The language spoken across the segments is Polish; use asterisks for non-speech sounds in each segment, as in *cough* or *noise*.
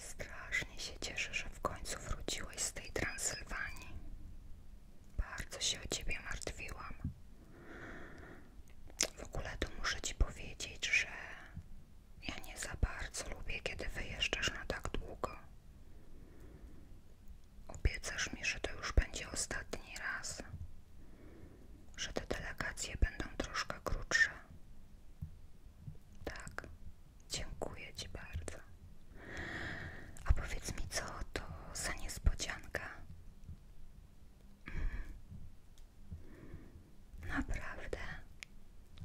Strasznie się cieszę, że w końcu wróciłeś z tej Transylwanii. Bardzo się o ciebie martwiłam. W ogóle to muszę ci powiedzieć, że ja nie za bardzo lubię, kiedy wyjeżdżasz na tak długo. Obiecasz mi, że to już będzie ostatni raz, że te delegacje będą troszkę krótsze. Tak, dziękuję Ci bardzo. A powiedz mi, co to za niespodzianka? Mhm. Naprawdę,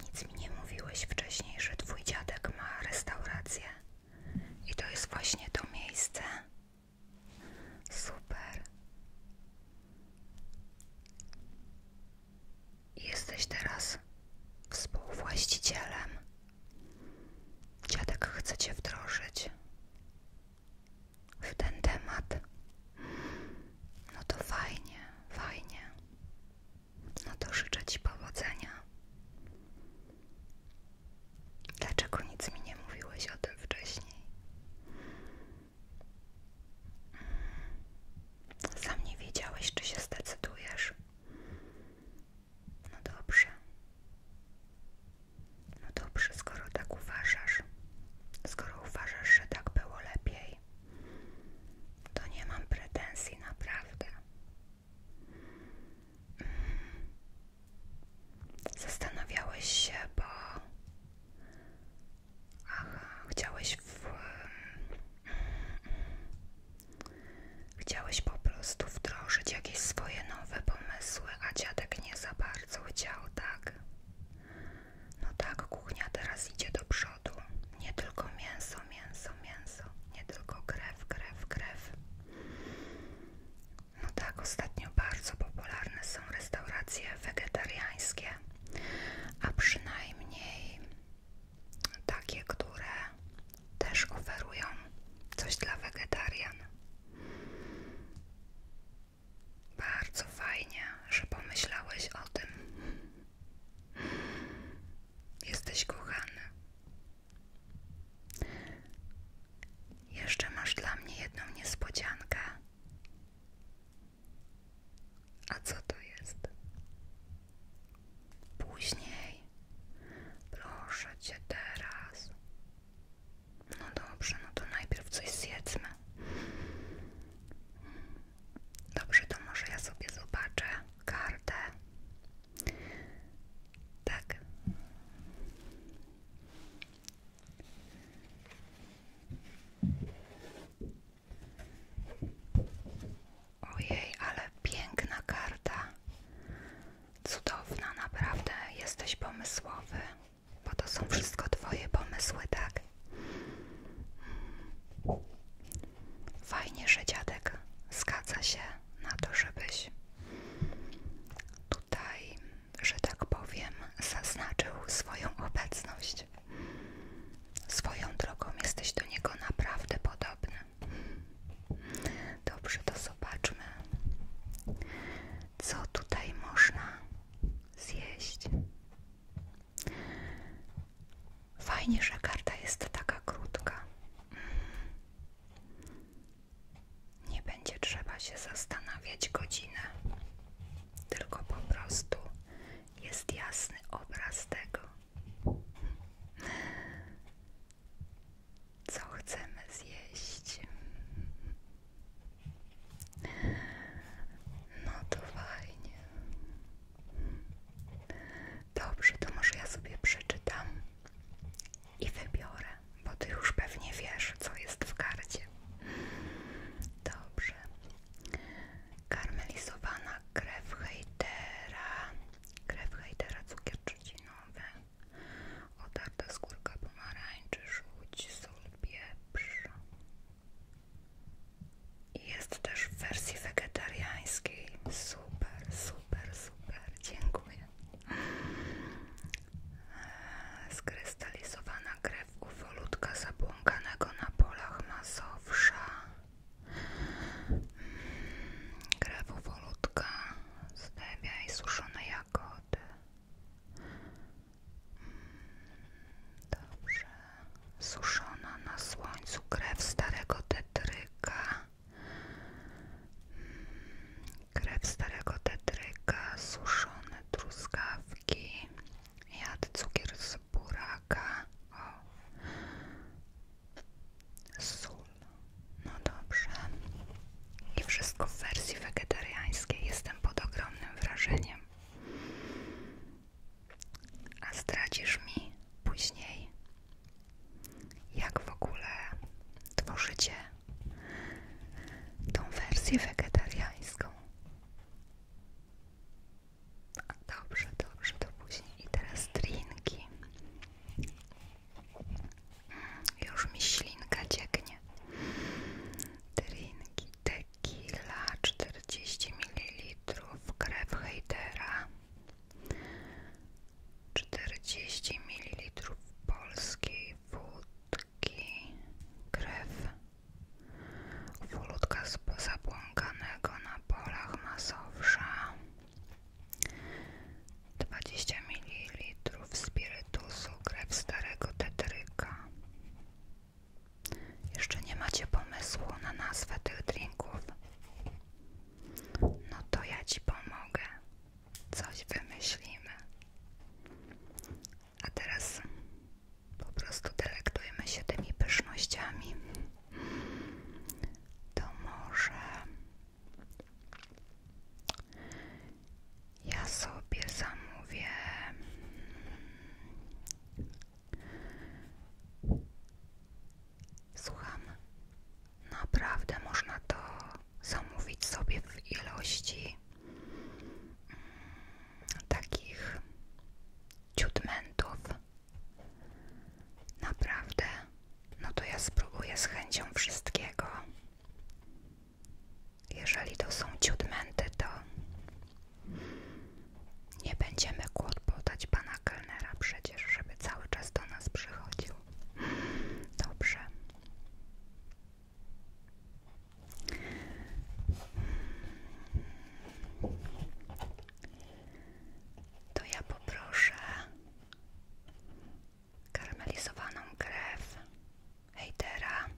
nic mi nie mówiłeś wcześniej, że Twój dziadek ma restaurację i to jest właśnie to miejsce. Super. Jesteś teraz współwłaścicielem. Dziadek chce cię wdrożyć w ten temat. No to fajnie, fajnie. No to życzę ci powodzenia. Dlaczego nic mi nie mówiłeś o tym wcześniej? Sam nie wiedziałeś, czy się zdecydujesz. No dobrze. No dobrze, skoro tak uważasz, skoro uważasz, że tak było lepiej, to nie mam pretensji naprawdę. Zastanawiałeś się, bo Aha, chciałeś Chciałeś po prostu wdrożyć jakieś swoje nowe pomysły, a dziadek nie za bardzo chciał, tak? No tak, kuchnia teraz idzie do przodu. Nie tylko mięso, mięso, mięso. Nie tylko krew, krew, krew. No tak, ostatnio bardzo popularne są restauracje wegetariańskie a przynajmniej takie, które też oferują coś dla wegetarian. Bardzo fajnie, że pomyślałeś o tym. Jesteś kochany. Jeszcze masz dla mnie jedną niespodziankę. A co to jest? Później. Proszę cię teraz. No dobrze, no to najpierw coś zjedzmy. Dobrze, to może ja sobie zobaczę kartę. Tak. Ojej, ale piękna karta. Cudowna, naprawdę. Jesteś pomysłowy. Bo to są wszystko Twoje pomysły, tak? Hmm. Fajnie, że dziadek zgadza się na to, żebyś tutaj, że tak powiem, zaznaczył swoją obecność. Swoją drogą jesteś do niego naprawdę podobny. Dobrze, to zobaczmy, co tutaj można zjeść. Fajnie, że karta jest taka krótka. Mm. Nie będzie trzeba się zastanawiać godzinę, tylko po prostu jest jasny obraz tego, co chcemy zjeść. No to fajnie. Dobrze, to może ja sobie przeczytam i wybiorę, bo ty już pewnie wiesz, co jest w karcie. Dobrze, karmelizowana krew hejtera, krew hejtera, cukier trzcinowy, otarta skórka pomarańczy, żółć, sól, pieprz. Jest też w wersji wegetariańskiej. Super, super, super. Dziękuję. E, skrystalizowana krew ufolutka zabłąkanego na polach masowsza mm, krew ufolutka zdebia i suszone jagody mm, dobrze suszona na słońcu krew starego tetryka mm, krew starego tetryka suszone truskawki jad cukier z z buraka. O. Sól. No dobrze. I wszystko w wersji wegetariańskiej. Jestem pod ogromnym wrażeniem. A zdradzisz mi później, jak w ogóle tworzycie tą wersję wegetariańską. Dobrze, dobrze, to później. I teraz drinki. Już mi ślinka cieknie. Drinki, tequila 40 ml, krew hejdera 40 ml polskiej wódki, krew Wolutka z zabłąkanego na polach masowsza 20 ml spirytusu krew starego tetryka Jeszcze nie macie pomysłu na nazwę tych drinków? No to ja ci pomogę Coś wymyślimy a teraz po prostu delektujmy się tymi pysznościami. To może ja sobie zamówię Słucham, naprawdę można to zamówić sobie w ilości mm, takich ciutmentów Naprawdę? No to ja spróbuję z chęcią wszystkiego. Jeżeli to są ciudmenty, to nie będziemy kłopotać pana kelnera przecież, żeby cały czas do nas przychodził. Dobrze to ja poproszę karmelizowaną krew hejtera,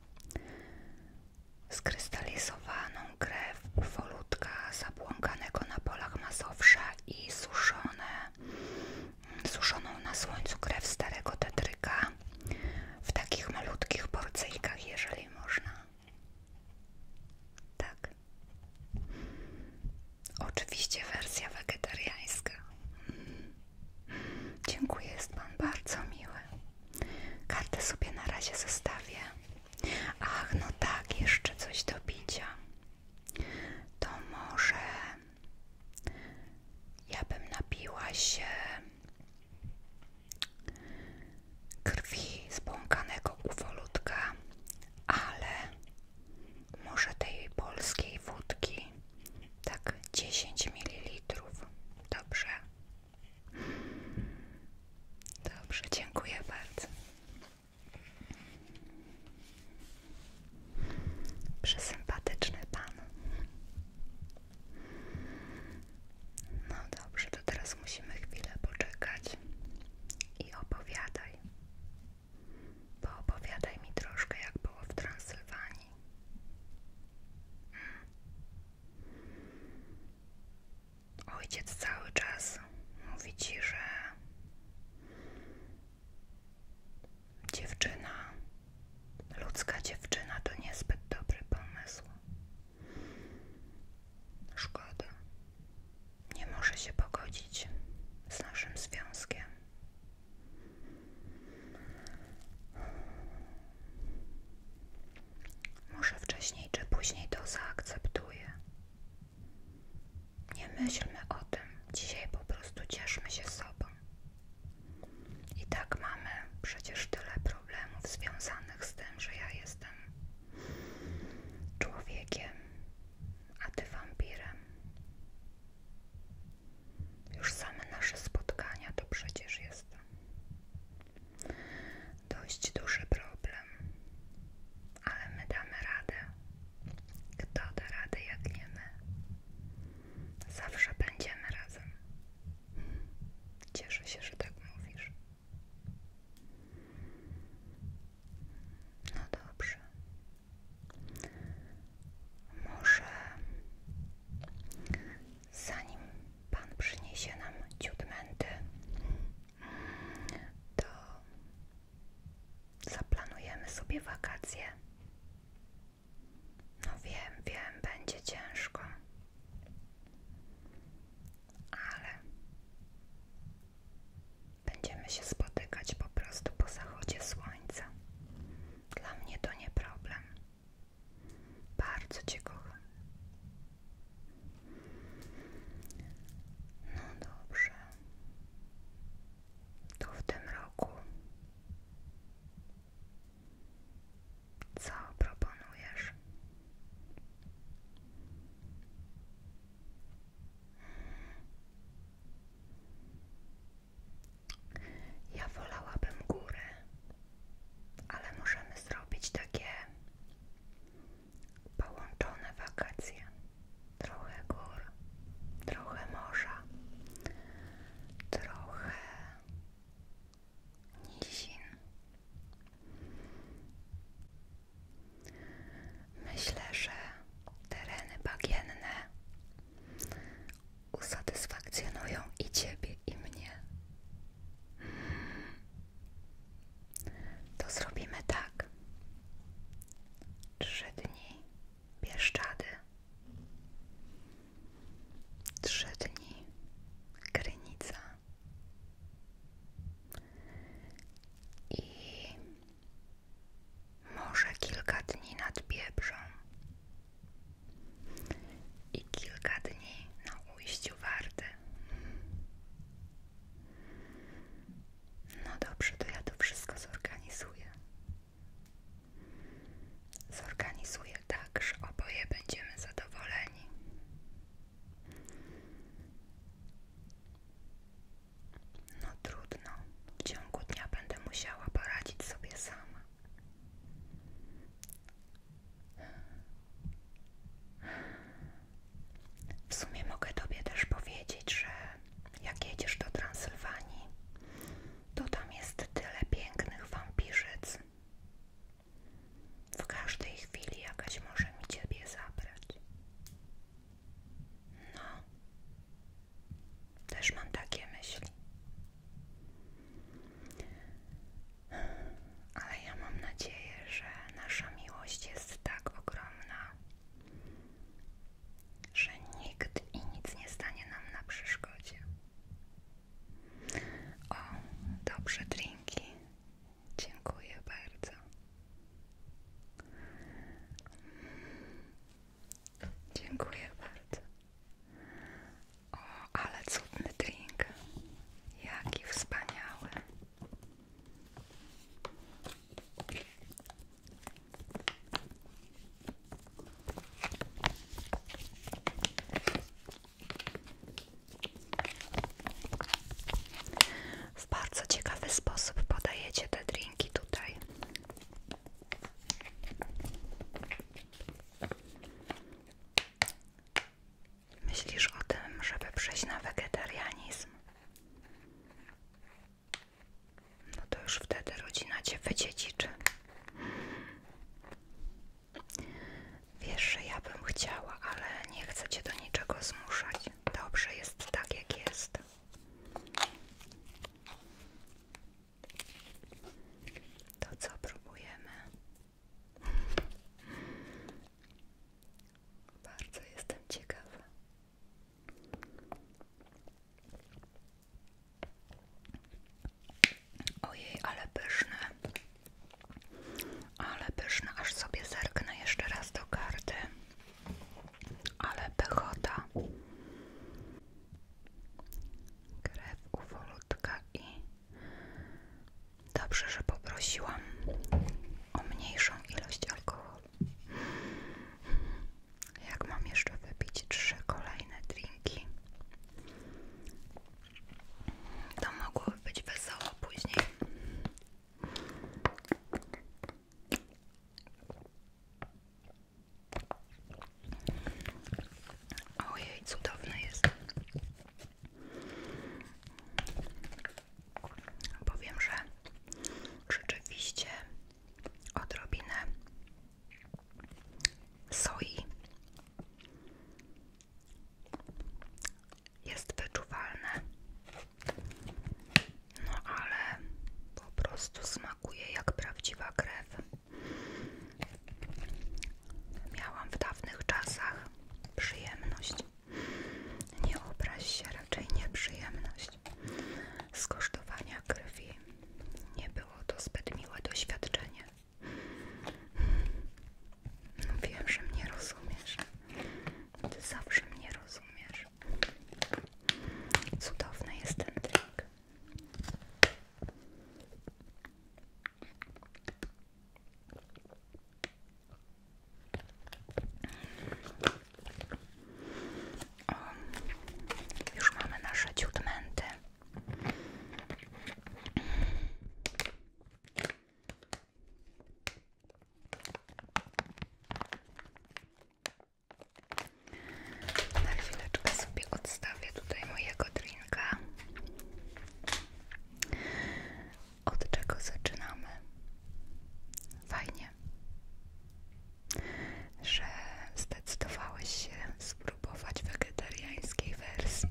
skrystalizowaną krew wolutka zabłąkanego na polach masowsza i suszone, suszoną na słońcu krew starego tetryka w takich malutkich porcyjkach, jeżeli można. Tak. Oczywiście wersja wegetariańska. Dziękuję, jest Pan bardzo miły. Kartę sobie na razie zostawię. Ach, no tak, jeszcze coś do bicia. To może ja bym napiła się krwi zbłąkanego uwolutka, ale może tej polskiej wódki tak 10 ml. Dobrze. Dobrze, dziękuję bardzo. Przysympatyczny pan. No dobrze, to teraz musimy chwilę poczekać i opowiadaj. bo opowiadaj mi troszkę, jak było w Transylwanii. Hmm. Ojciec cały czas mówi ci, że dziewczyna, ludzka dziewczyna to niezbyt dobry pomysł. Szkoda. Nie może się pogodzić z naszym związkiem. Może wcześniej czy później to zaakceptuję Nie myślmy o tym. Dzisiaj po prostu cieszmy się sobą. I tak mamy przecież tyle problemów związanych z tym, że ja jestem człowiekiem, a ty wampirem. Już same nasze spotkania to przecież jest dość duży problem, ale my damy radę. Kto da radę, jak nie my? Zawsze będziemy razem. Cieszę się, że tak mówisz. No dobrze. Może zanim Pan przyniesie nam ciutmenty, to zaplanujemy sobie wakacje. No wiem, wiem, będzie ciężko ale będziemy się spotykać po prostu po zachodzie słońca. Dla mnie to nie problem. Bardzo Cię kocham. No dobrze. To w tym roku co proponujesz? Ja wolałabym górę, ale możemy zrobić takie połączone wakacje. Trochę gór, trochę morza, trochę nizin. Myślę, że tereny bagienne usatysfakcjonują i Ciebie, i mnie. To zrobimy tak. Trzy dni Bieszczady, trzy dni Krynica i może kilka dni nad Biebrzą i kilka dni na ujściu Warty. No dobrze, to ja to wszystko zorganizuję. Zorganizuję tak, że oboje będziemy zadowoleni. No trudno, w ciągu dnia będę musiała poradzić sobie sama. W sumie mogę Tobie też powiedzieć, że jak jedziesz do Transylwanii, to tam jest tyle pięknych wampirzyc. W każdej chwili jakaś może mi Ciebie zabrać. No, też mam takie myśli. Ale ja mam nadzieję, że nasza miłość jest tak ogromna, że nikt i nic nie stanie nam na przeszkodzie. O, dobrze, drinki. Dziękuję bardzo. Dziękuję bardzo. O, ale cudny drink. Jaki wspaniały w bardzo ciekawy sposób podajecie te drinki tutaj. Myślisz o tym, żeby przejść na wegetarianizm? No to już wtedy rodzina cię wydziedziczy. Wiesz, że ja bym chciała, ale nie chcę cię do niczego zmuszać. Dobrze jest tak, jak jest. To co próbujemy? Bardzo jestem ciekawa. Ojej, ale pyszne. Ale pyszne, aż sobie zerknę jeszcze raz do karty ale pechota krew uwolutka i dobrze, że poprosiłam o mniejszą ilość alkoholu jak mam jeszcze wypić trzy kolejne drinki to mogłoby być wesoło później Ojej, cudowne jest. Powiem, że rzeczywiście odrobinę soi jest wyczuwalne. No ale po prostu smakuje jak prawdziwa krew. Miałam w dawnych czasach przyjemność. Nie obraź się, raczej nieprzyjemność skosztowania krwi. Nie było to zbyt miłe doświadczenie. No wiem, że mnie rozumiesz. Ty zawsze mnie rozumiesz. Cudowny jest ten drink. Um, już mamy nasze ciutmenty. Na chwileczkę sobie odstawię tutaj mojego drinka. Od czego zaczynamy? Fajnie, że zdecydowałeś się spróbować wegetariańskiej wersji.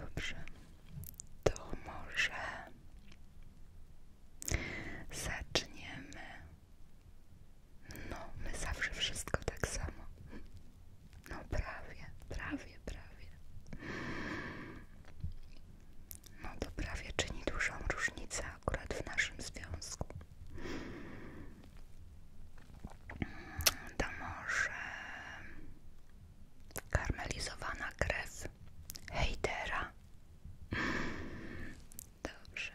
Dobrze, to może Zaczniemy. No, my zawsze wszystko tak samo. No prawie, prawie, prawie. No to prawie czyni dużą różnicę akurat w naszym związku. To może karmelizowana krew hejtera. Dobrze.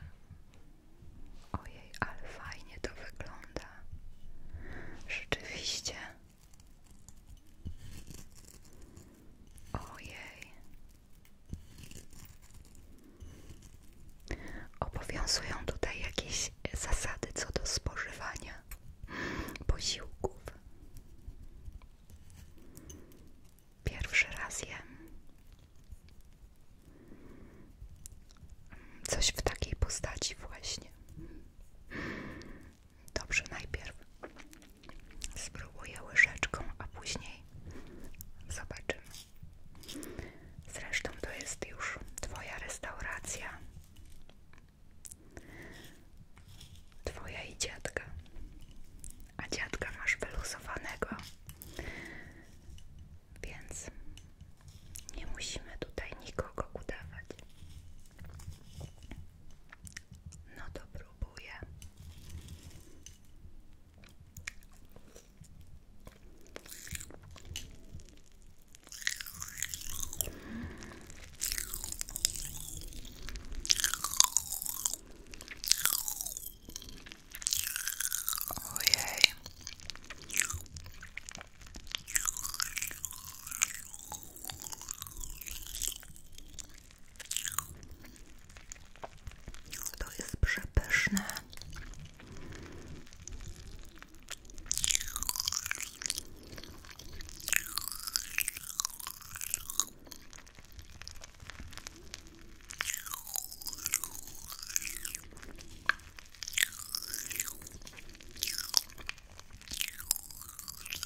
Ojej, ale fajnie to wygląda. Rzeczywiście. Ojej. Obowiązują tutaj jakieś zasady co do spożywania posiłków. Pierwszy raz je. coś w takiej postaci właśnie. Dobrze, najpierw spróbuję łyżeczką, a później zobaczymy. Zresztą to jest już Twoja restauracja. Twoja i dziadka. A dziadka masz wyluzowanego. Więc nie musimy tutaj nikogo udawać. No to próbuję. Ojej. To jest przepyszne.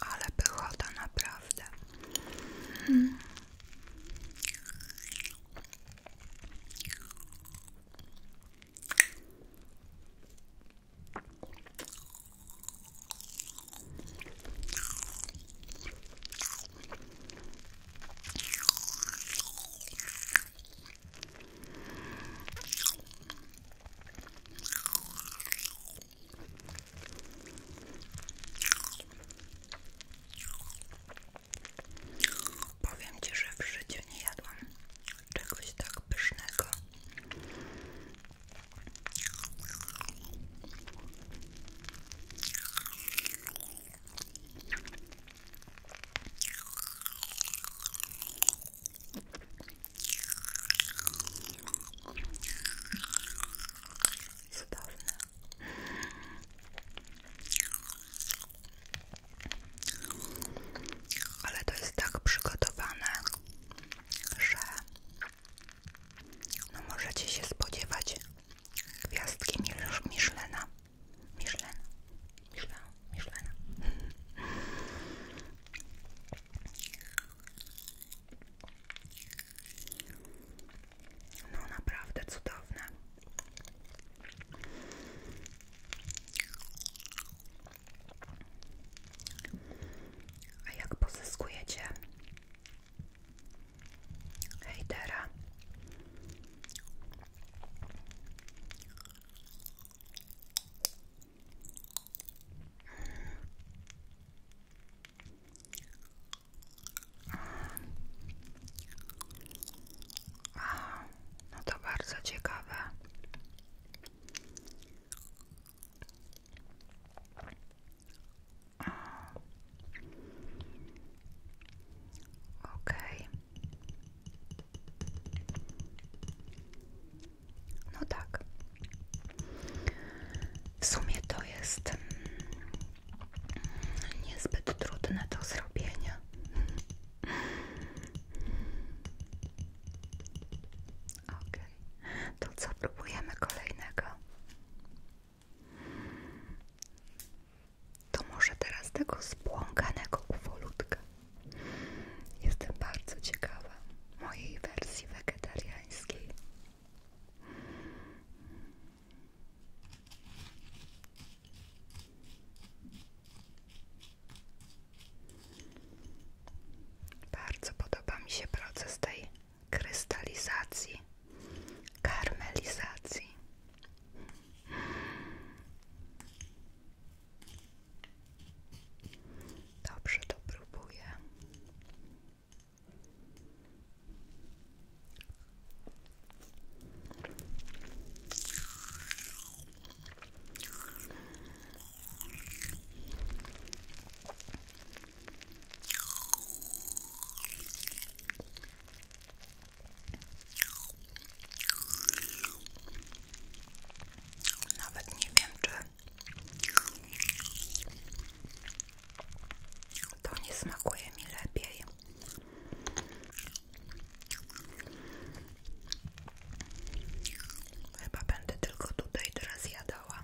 Ale pychota naprawdę. Hmm. Powiem Ci, że w życiu nie jadłam czegoś tak pysznego Cudowne. Ale to jest tak przygotowane, że no możecie się spodziewać gwiazdki Michelina. Michelin. Michelin. Michelin. No naprawdę cudowne. A jak pozyskujecie Hejdera. Mm. No to bardzo ciekawe. Okej. No tak. W sumie to jest mm, niezbyt trudne do zrobienia. To co, próbujemy kolejnego? To może teraz tego spłąkanego ufolutka. Jestem bardzo ciekawa mojej wersji wegetariańskiej. Bardzo podoba mi się proces tej krystalizacji, karmelizacji. Dobrze to nawet nie wiem, czy to nie smakuje mi lepiej. Chyba będę tylko tutaj teraz jadała.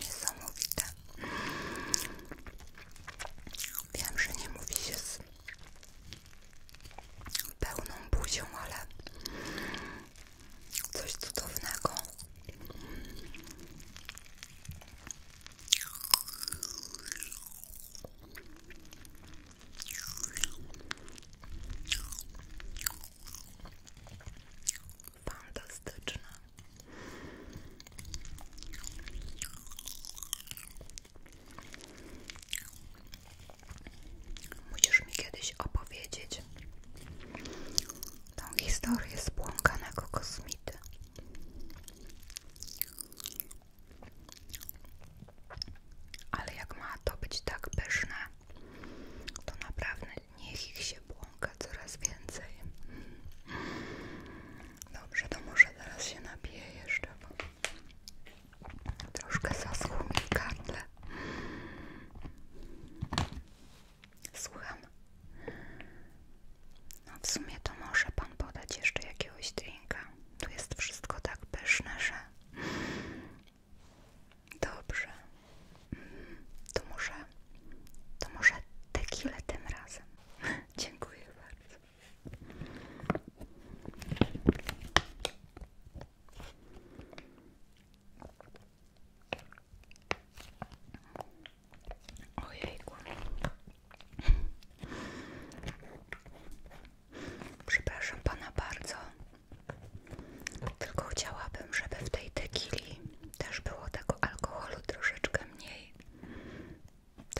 Niesamowite. Wiem, że nie mówi się z pełną buzią, ale coś cudownego. Fantastyczne. Musisz mi kiedyś opowiedzieć tą historię spłąkanego kosmity. Ale jak ma to być tak pyszne, to naprawdę niech ich się błąka coraz więcej. Dobrze, to może teraz się napiję jeszcze, bo troszkę zaschło mi gardle. Słucham. No w sumie to może pan podać jeszcze jakiegoś drinka. Tu jest wszystko tak pyszne, że... Dobrze. To może, to może tequilę tym razem. *laughs* Dziękuję bardzo. Ojejku. Przepraszam pana bardzo. Tylko chciałabym, żeby w tej tekili wcześniej też było tego alkoholu troszeczkę mniej.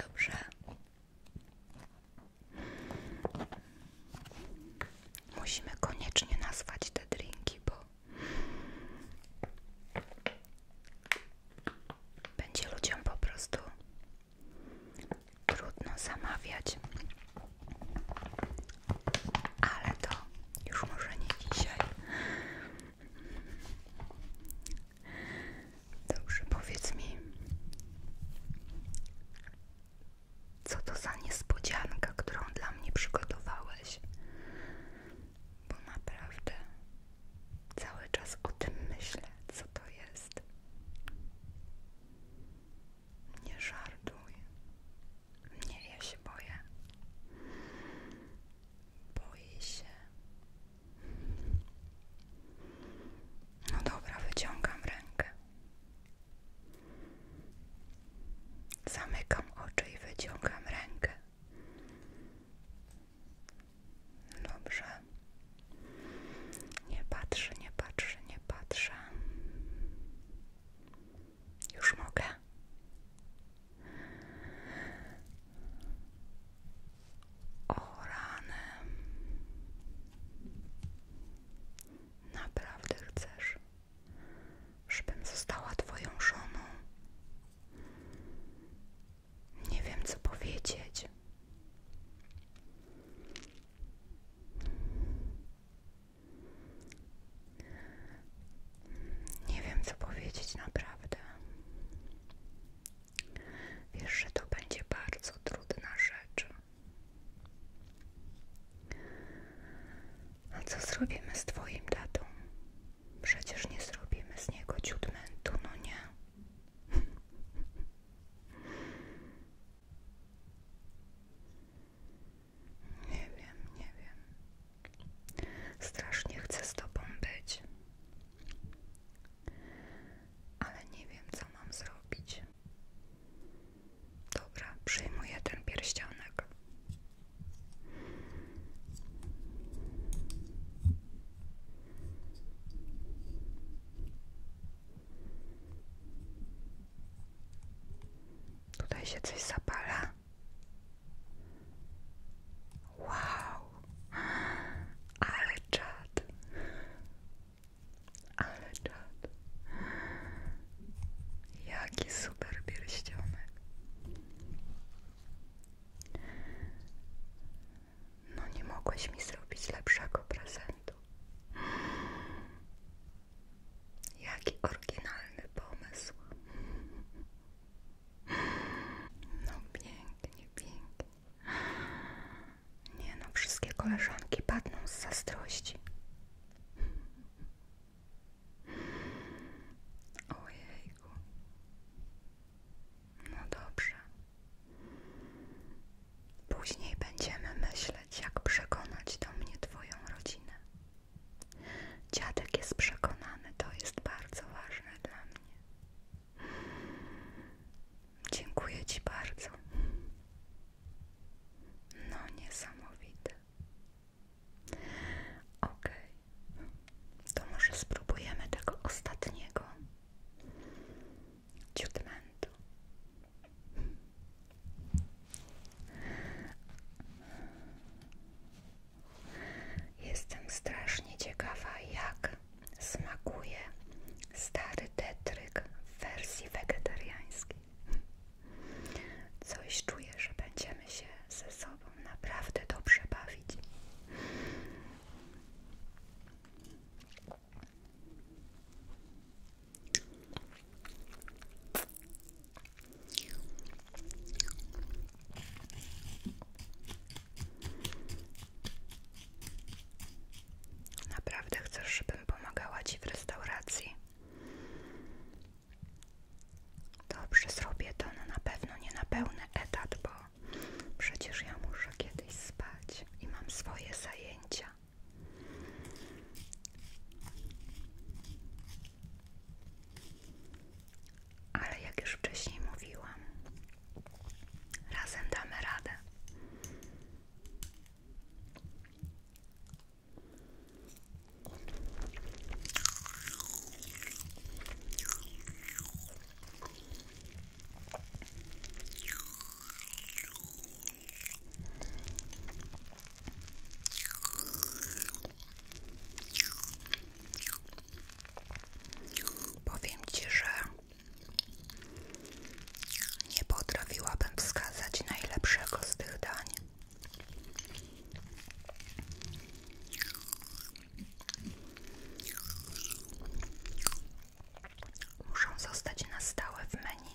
Dobrze. Musimy koniecznie nazwać te drinki, bo będzie ludziom po prostu trudno zamawiać. Ale to już może nie dzisiaj. Dobrze, powiedz mi, co to za niespodzianka, którą dla mnie przygotowałeś? Bo naprawdę cały czas o tym myślę, co to jest. Nie żartuj. Nie, ja się boję. Boję się. No dobra, wyciągam rękę. Zamykam oczy i wyciągam rękę. Dobrze. Nie patrzę, nie patrzę, nie patrzę. Już mogę. O Naprawdę chcesz, żebym została twoją żoną? Nie wiem, co powiedzieć. Nie wiem, co powiedzieć naprawdę. Wiesz, że to będzie bardzo trudna rzecz. A co zrobimy z Twoim tatą? Przecież nie zrobimy z niego ciutmentu, no nie. *laughs* Nie wiem, nie wiem. Strasznie chcę z tobą być, ale nie wiem, co mam zrobić. Dobra, przyjmuję ten pierścionek. Tutaj się coś zapala. Wow, ale czad, ale czad. Jaki super No nie mogłeś mi zrobić lepszego prezentu. Jaki oryginalny pomysł. No pięknie, pięknie. Nie no, wszystkie koleżanki padną z zazdrości. Ojejku. No dobrze. Później będziemy myśleć, jak przekonać do mnie Twoją rodzinę. Dziadek jest przekonany, to jest bardzo ważne dla mnie. Dziękuję Ci bardzo. No, niesamowite. Ok, to może spróbujemy tego ostatniego ciutmentu. Jestem strasznie ciekawa, jak smakuje stary tetryk w wersji wegetariańskiej. Coś czuję, że będziemy się ze sobą naprawdę dobrze bawić. Naprawdę chcesz, żebym pomagała Ci w restauracji? Dobrze, zrobię to, no na pewno nie na pełny etat, bo przecież ja muszę kiedyś spać i mam swoje zajęcia ale jak już wcześniej mówiłam, razem damy radę. Powiem Ci, że nie potrafiłabym wskazać najlepszego z tych dań. Muszą zostać na stałe w menu.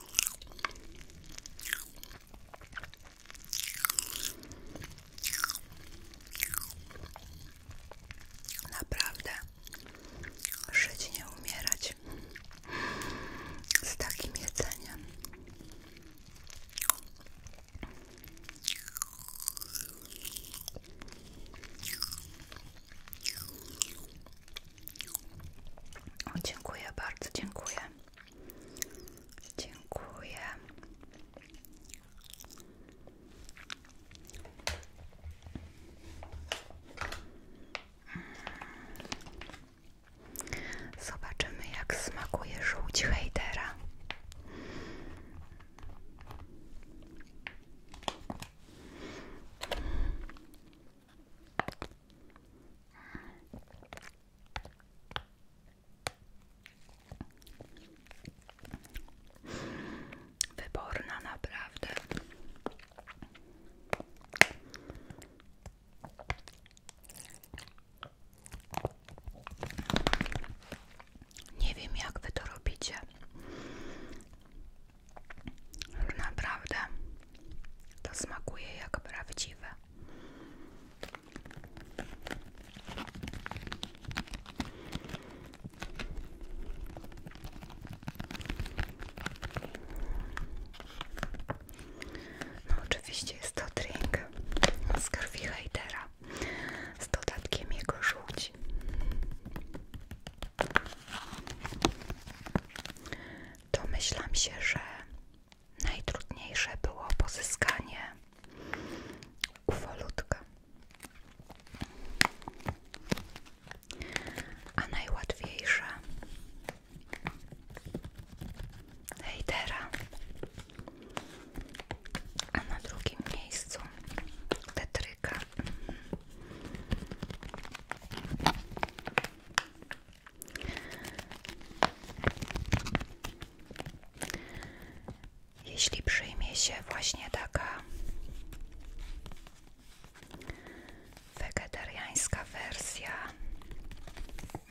Naprawdę żyć nie umierać z takim jedzeniem. O, dziękuję bardzo, dziękuję. Dziękuję. Zobaczymy, jak smakuje żółć hejdera. Wyborna naprawdę. Nie wiem jak wy to robicie. Naprawdę to smakuje jak prawdziwe. No, oczywiście jest to drink z krwi hejtera z dodatkiem jego żółci. Domyślam się, że najtrudniejsze było pozyskanie ufolutka, a najłatwiejsze hejtera, a na drugim miejscu tetryka. Jeśli przyjmie się właśnie taka wegetariańska wersja, mm,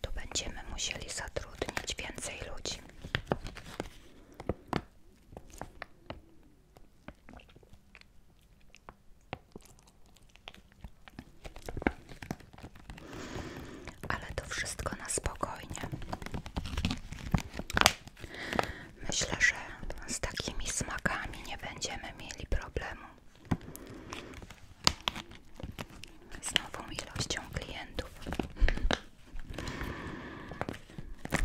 to będziemy musieli zatrudnić więcej ludzi. Ale to wszystko na spokojnie. Myślę, że z takimi smakami nie będziemy mieli problemu. Z nową ilością klientów.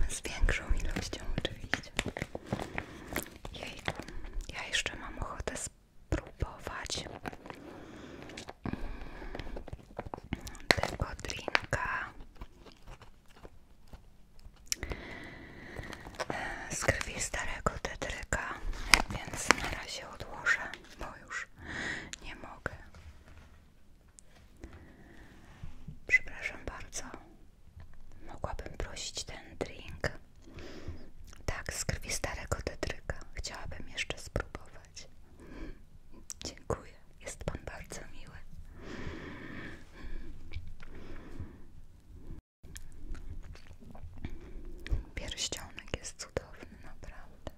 Z większą ilością oczywiście. Jejku, ja jeszcze mam ochotę spać spróbować mm, tego drinka e, z krwi starego tetryka, więc na razie odłożę, bo już nie mogę. Przepraszam bardzo. Mogłabym prosić ten drink tak, z krwi starego Tetryka. Chciałabym jeszcze spróbować. Dziękuję. Jest pan bardzo miły. Pierścionek jest cudowny, naprawdę.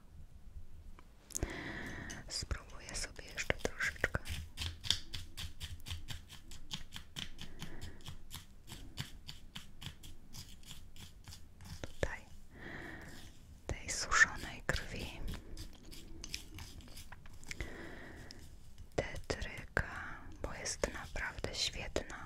Spróbuję sobie jeszcze troszeczkę tutaj tej suszonej krwi tetryka, bo jest naprawdę świetna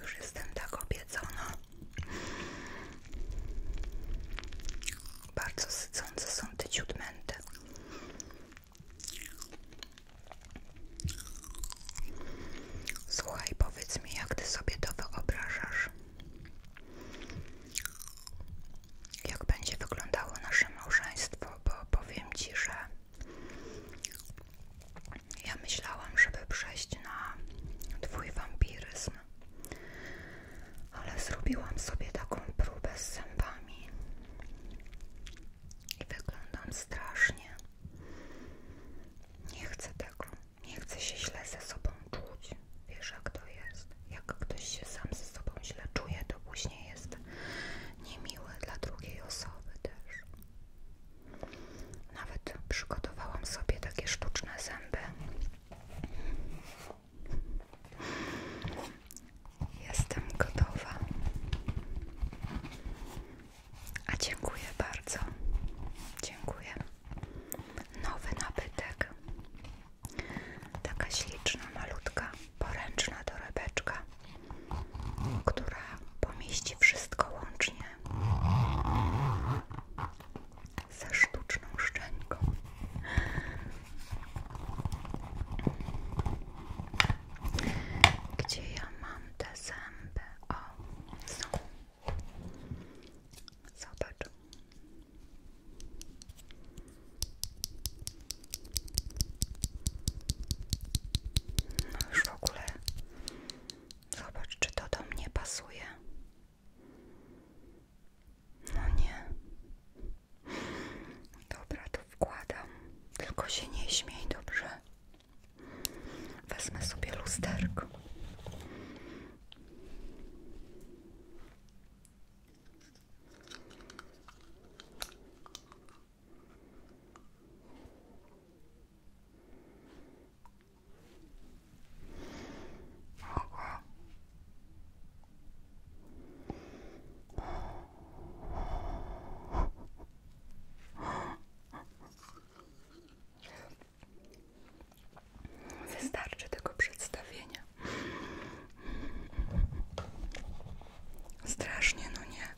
Już jestem tak obiecana. Bardzo sycące są te ciutmęty. Słuchaj, powiedz mi, jak ty sobie to wyobrażasz? jak będzie wyglądało nasze małżeństwo, bo powiem Ci, że ja myślałam, żeby przejść na twój wampiryzm, ale zrobiłam sobie taką próbę z zębami i wyglądam strasznie. Nie chcę tego, nie chcę się źle ze sobą czuć. Wiesz, jak to jest? Jak ktoś się sam ze sobą źle czuje, to później jest jest niemiłe dla drugiej osoby też. Nawet przygotowałam sobie takie sztuczne zęby. Jestem gotowa. A dziękuję bardzo. Dziękuję. Nowy nabytek. Taka śliczna, malutka poręczna torebeczka, która pomieści wszystko łącznie ze sztuczną szczęką. Gdzie ja mam te zęby? O, są. Zobacz. No w ogóle zobacz, czy to do mnie pasuje. No nie. Dobra, to wkładam. Tylko się nie śmiej, dobrze? Wezmę sobie lusterko. Wystarczy tego przedstawienia. Strasznie, no nie.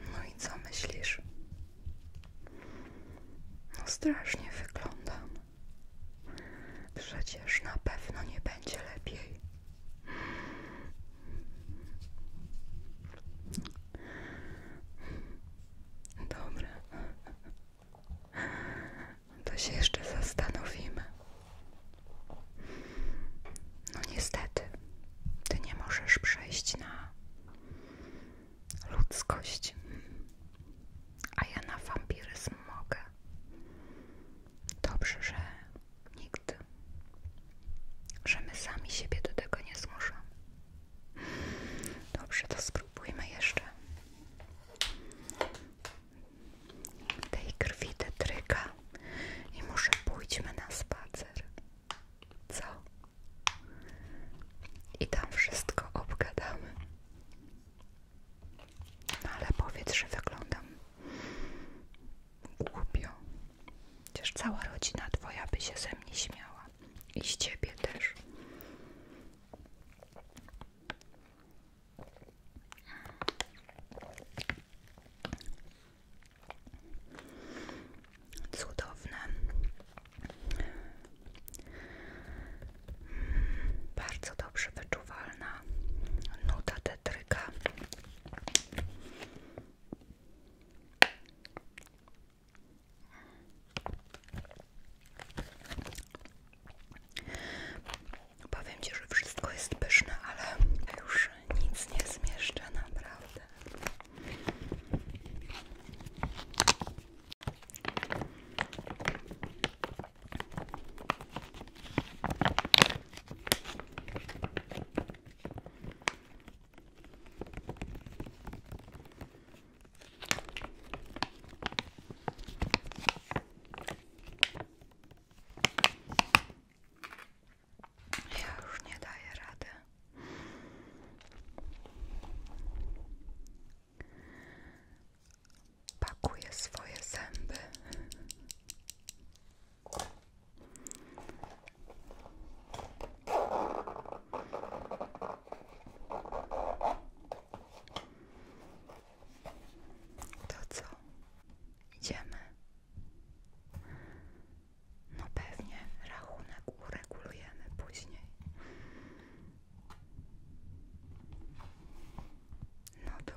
No i co myślisz? No strasznie wyglądam. Przecież na pewno nie będzie lepiej. Dobra. To się jeszcze zastanowimy. No niestety, ty nie możesz przejść na ludzkość, a ja na wampiryzm mogę. Dobrze, że Nikt. Że my sami siebie do tego nie zmuszamy. Dobrze, to spróbujmy jeszcze. Tej krwi tetryka i może pójdźmy na spacer. Co? I tam wszystko obgadamy. No ale powiedz, że wyglądam głupio. Przecież cała rodzina twoja by się ze mnie śmiała. I z ciebie też. Cudowne. Hmm, bardzo dobrze wyczuwalna nuta tetry słoika. Powiem Ci, że wszystko jest pyszne, ale już nic nie zmieszczę naprawdę. Ja już nie daję rady. Pakuję swoje zęby to co? Idziemy. No pewnie rachunek uregulujemy później. No to